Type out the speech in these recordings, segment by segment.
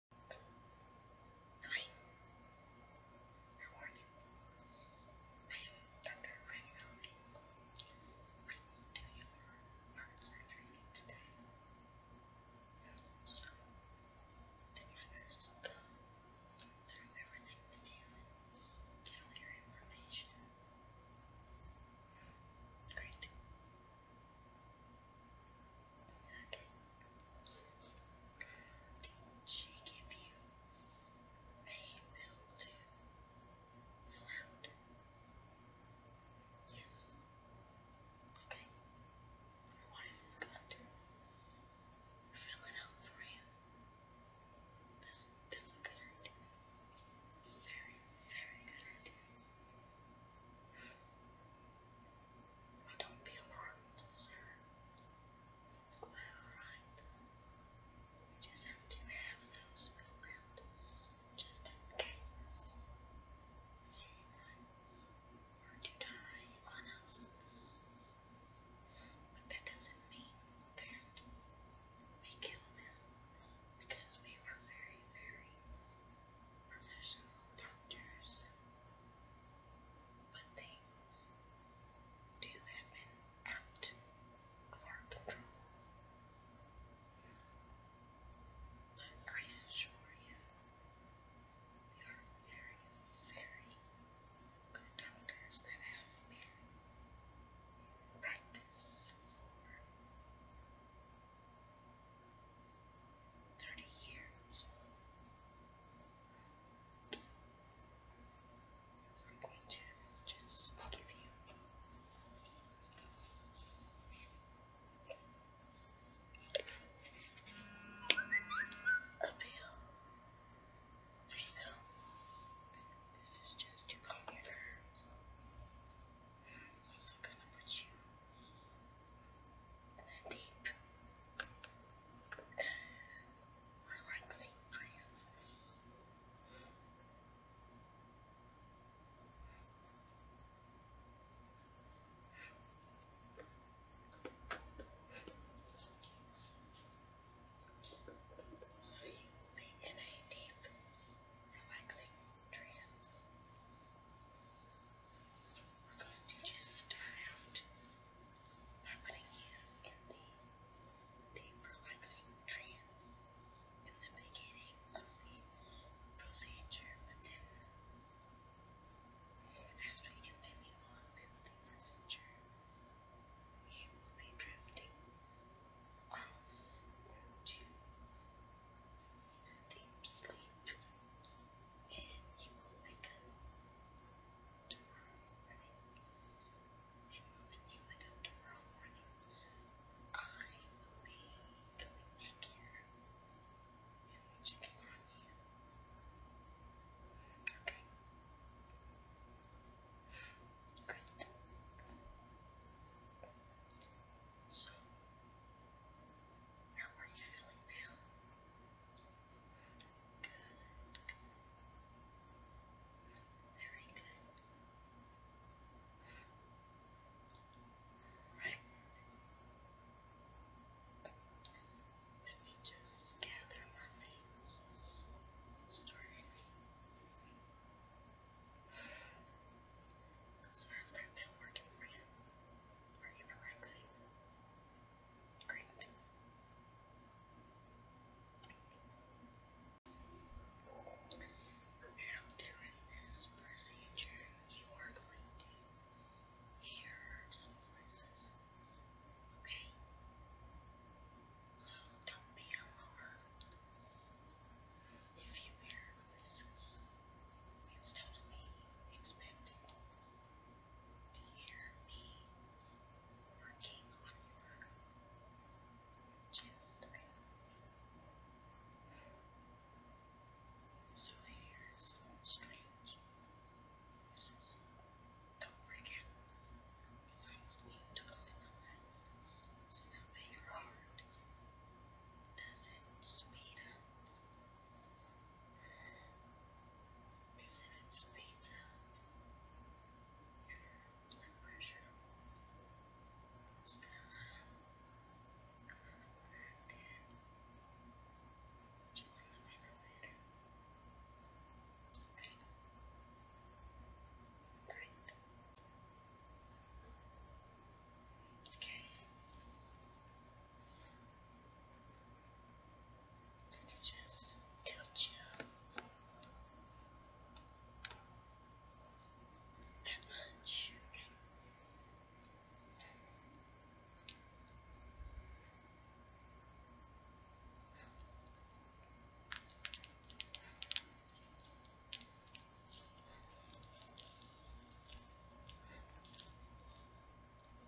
Hi. How are you? I am Dr. Glenn Melvin. I will do your heart surgery today. So, did my nurse go through everything with you and get all your information? Great. Okay. Didn't she give you a bill to fill out? Yes. Okay. Your wife is going to fill it out for you. That's that's a good idea. Very, very good idea. Oh, don't be alarmed, sir. It's quite alright. We just have to have those filled just in case someone were to die on us. But that doesn't mean that we kill them because we are very, very professional doctors. But things do happen out of our control. But I assure you, there are very, very good doctors that have been in practice for 30 years. I'm going to just give you a pill. There This is just to calm your nerves. It's also going to put you deep, relaxing trance. So you will be in a deep, relaxing trance we're going to just start out by putting you in the deep relaxing trance in the beginning of the procedure, but then as we continue on with the procedure, you will be drifting off into deep sleep, and you will wake up tomorrow morning. And when you wake up tomorrow morning, I will be coming back here and checking on you. Okay. Great. So, how are you feeling now? Very good. Right. Let me just gather my things. Starting. So how's that been working for you? Are you relaxing? Great. Now, during this procedure, you are going to hear some voices. Okay? So don't be alarmed. If you hear voices, it's totally expected to hear me working on your chest, So if you strange noises, don't forget, because I want you totally relaxed, so that your heart doesn't speed because if it's pizza, your blood pressure goes down. I you on the ventilator. Okay. Great. Okay. Just tilt you. That much. Okay.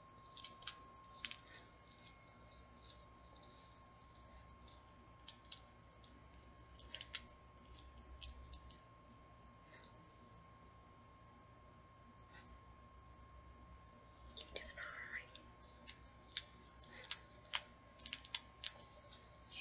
You're doing alright. Yeah.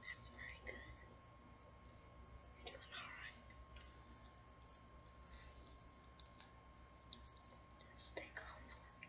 That's very good. You're doing alright. Just stay calm for me.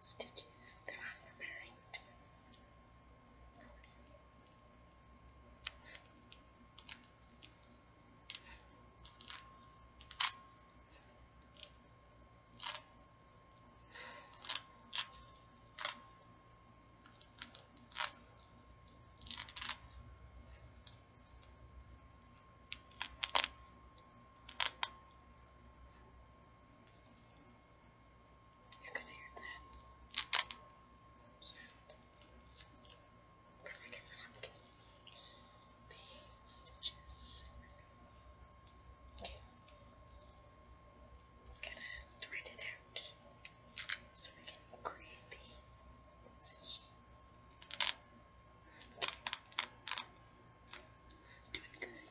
stitches that I'm preparing to for you. You can hear that sound. Because I guess I have to get the stitches. Okay gonna thread it out so we can create the incision. Doing good. Okay,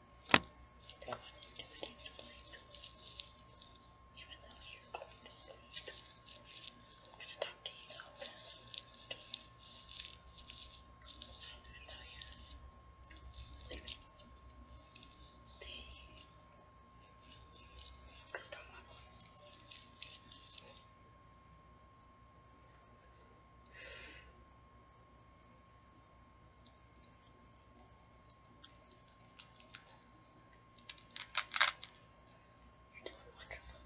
Go on and do it in your sleep. Even though you're going to sleep, I'm going to talk to you open. Even stay focused on my voice. You're doing wonderful.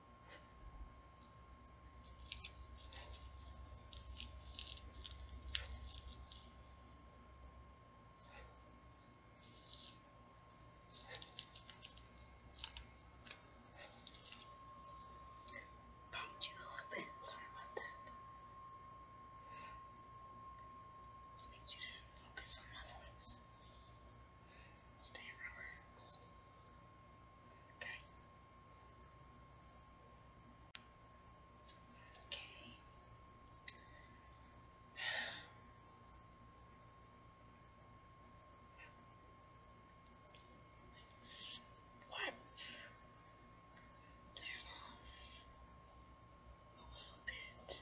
Bumped you a little bit, sorry about that. I need you to focus on my voice. Stay relaxed. Okay. Okay. Let's off a little bit.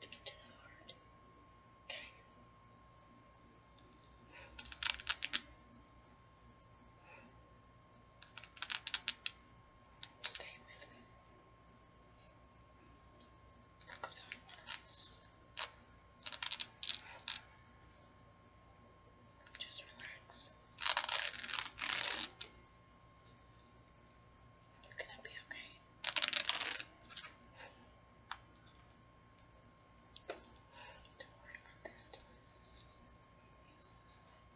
to get to the heart. Okay. Stay with me. Focus Just relax. You're gonna be okay. Don't worry about that. Use this thing. Okay.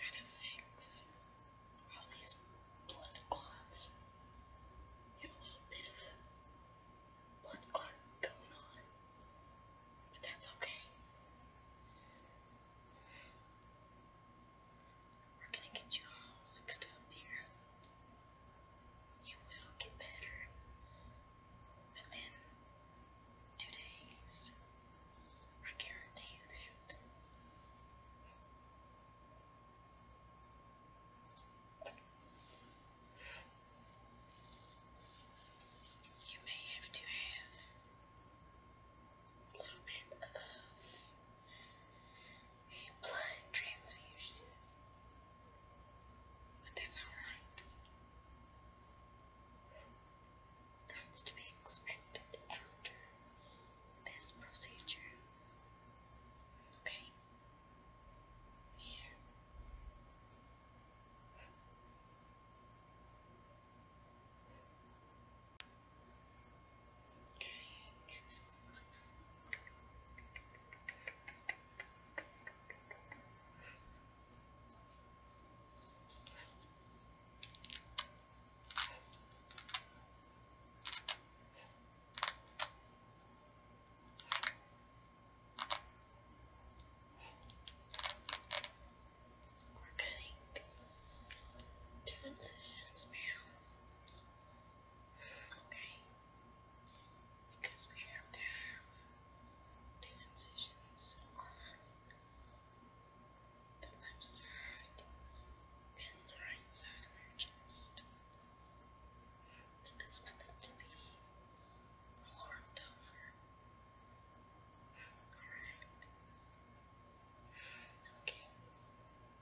Gotta fix all these blood clots. You a little bit of blood clot going on, but that's okay. We're gonna get you all fixed up here. You will get better within two days. I guarantee you that. You may have to have a little bit of a blood transfusion. But that's alright. That's to be expected after this procedure. Okay? Here. We're getting transitions now. Okay. Because we have to have transitions on the left side and the right side of your chest. But that's nothing to be alarmed over. Alright. Okay.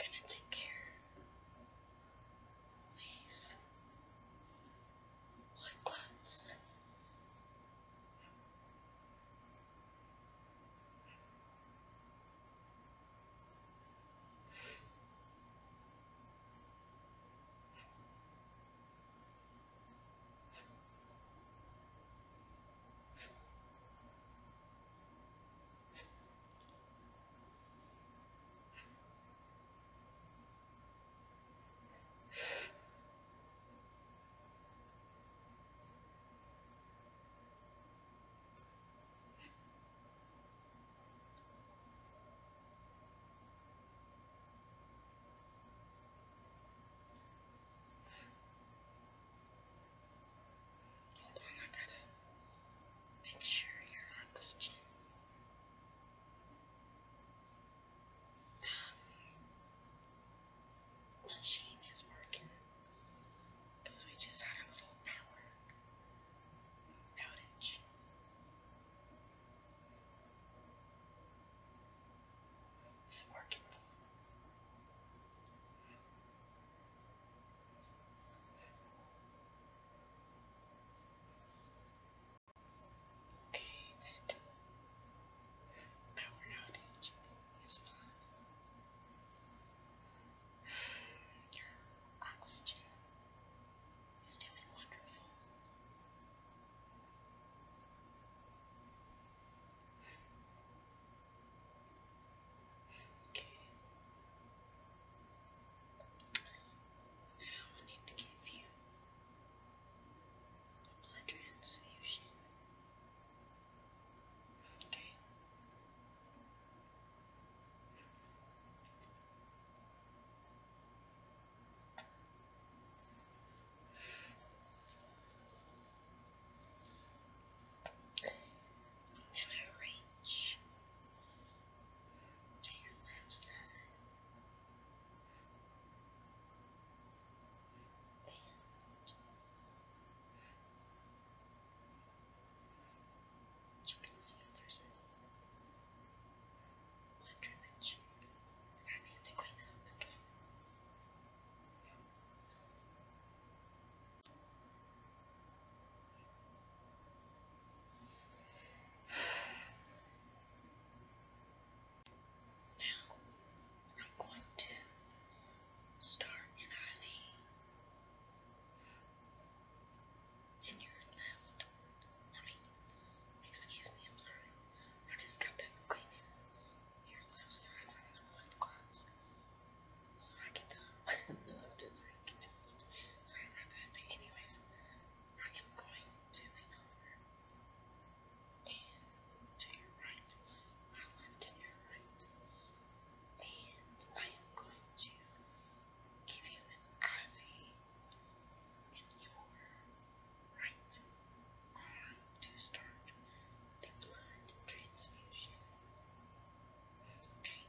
Now, gonna take care these white clothes. Hold on, I gotta make sure your oxygen the machine is working because we just had a little power outage. Is working? Okay, that power outage is fine. Your oxygen is doing wonderful. Okay. Now I need to give you a blood transfusion. Okay. I'm going to reach to your left and try to see if there's any blood damage that I need to clean up. Now, I'm going to start in IV in your left. excuse me, I'm sorry. I just got done cleaning your left side from the wood clots. So I can tell. Sorry about that, but anyways, I am going to the over and to your right, my left and your right, and I am going to give you an IV in your right arm to start the blood transfusion. Okay,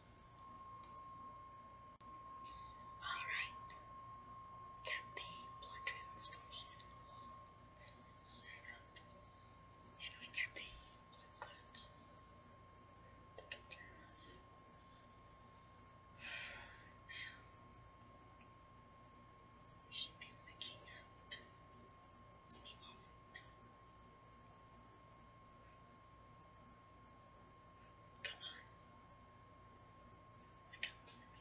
Alright. Got the blood transfusion set up. And we got the blood clots taken care of. Now, we should be waking up any moment. Now. Come on. Look up me.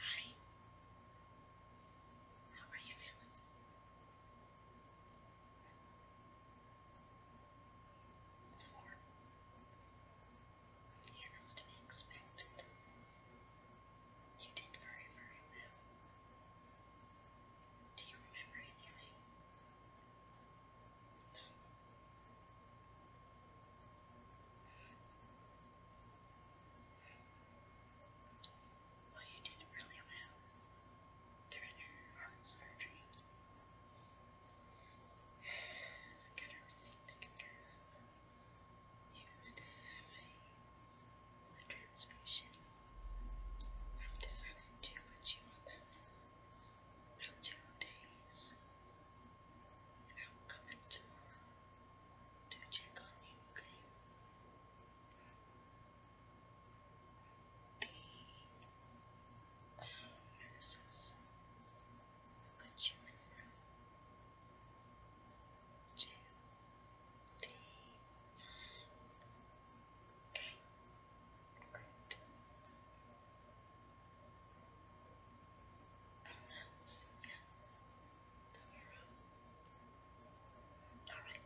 Hi. How are you feeling? It's warm. Yeah, to be expected. You did very, very well. Do you remember anything? No. Well, you did really well during her heart surgery. got everything taken care of. You and I the transfusion. I've decided to put you on that for about two days, and I'll come back tomorrow to check on you, The um, nurses will put you in two, three, five, Okay, great. And will see again tomorrow. Alright.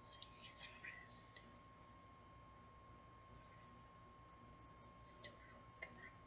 So you get some rest. See you tomorrow. Goodbye.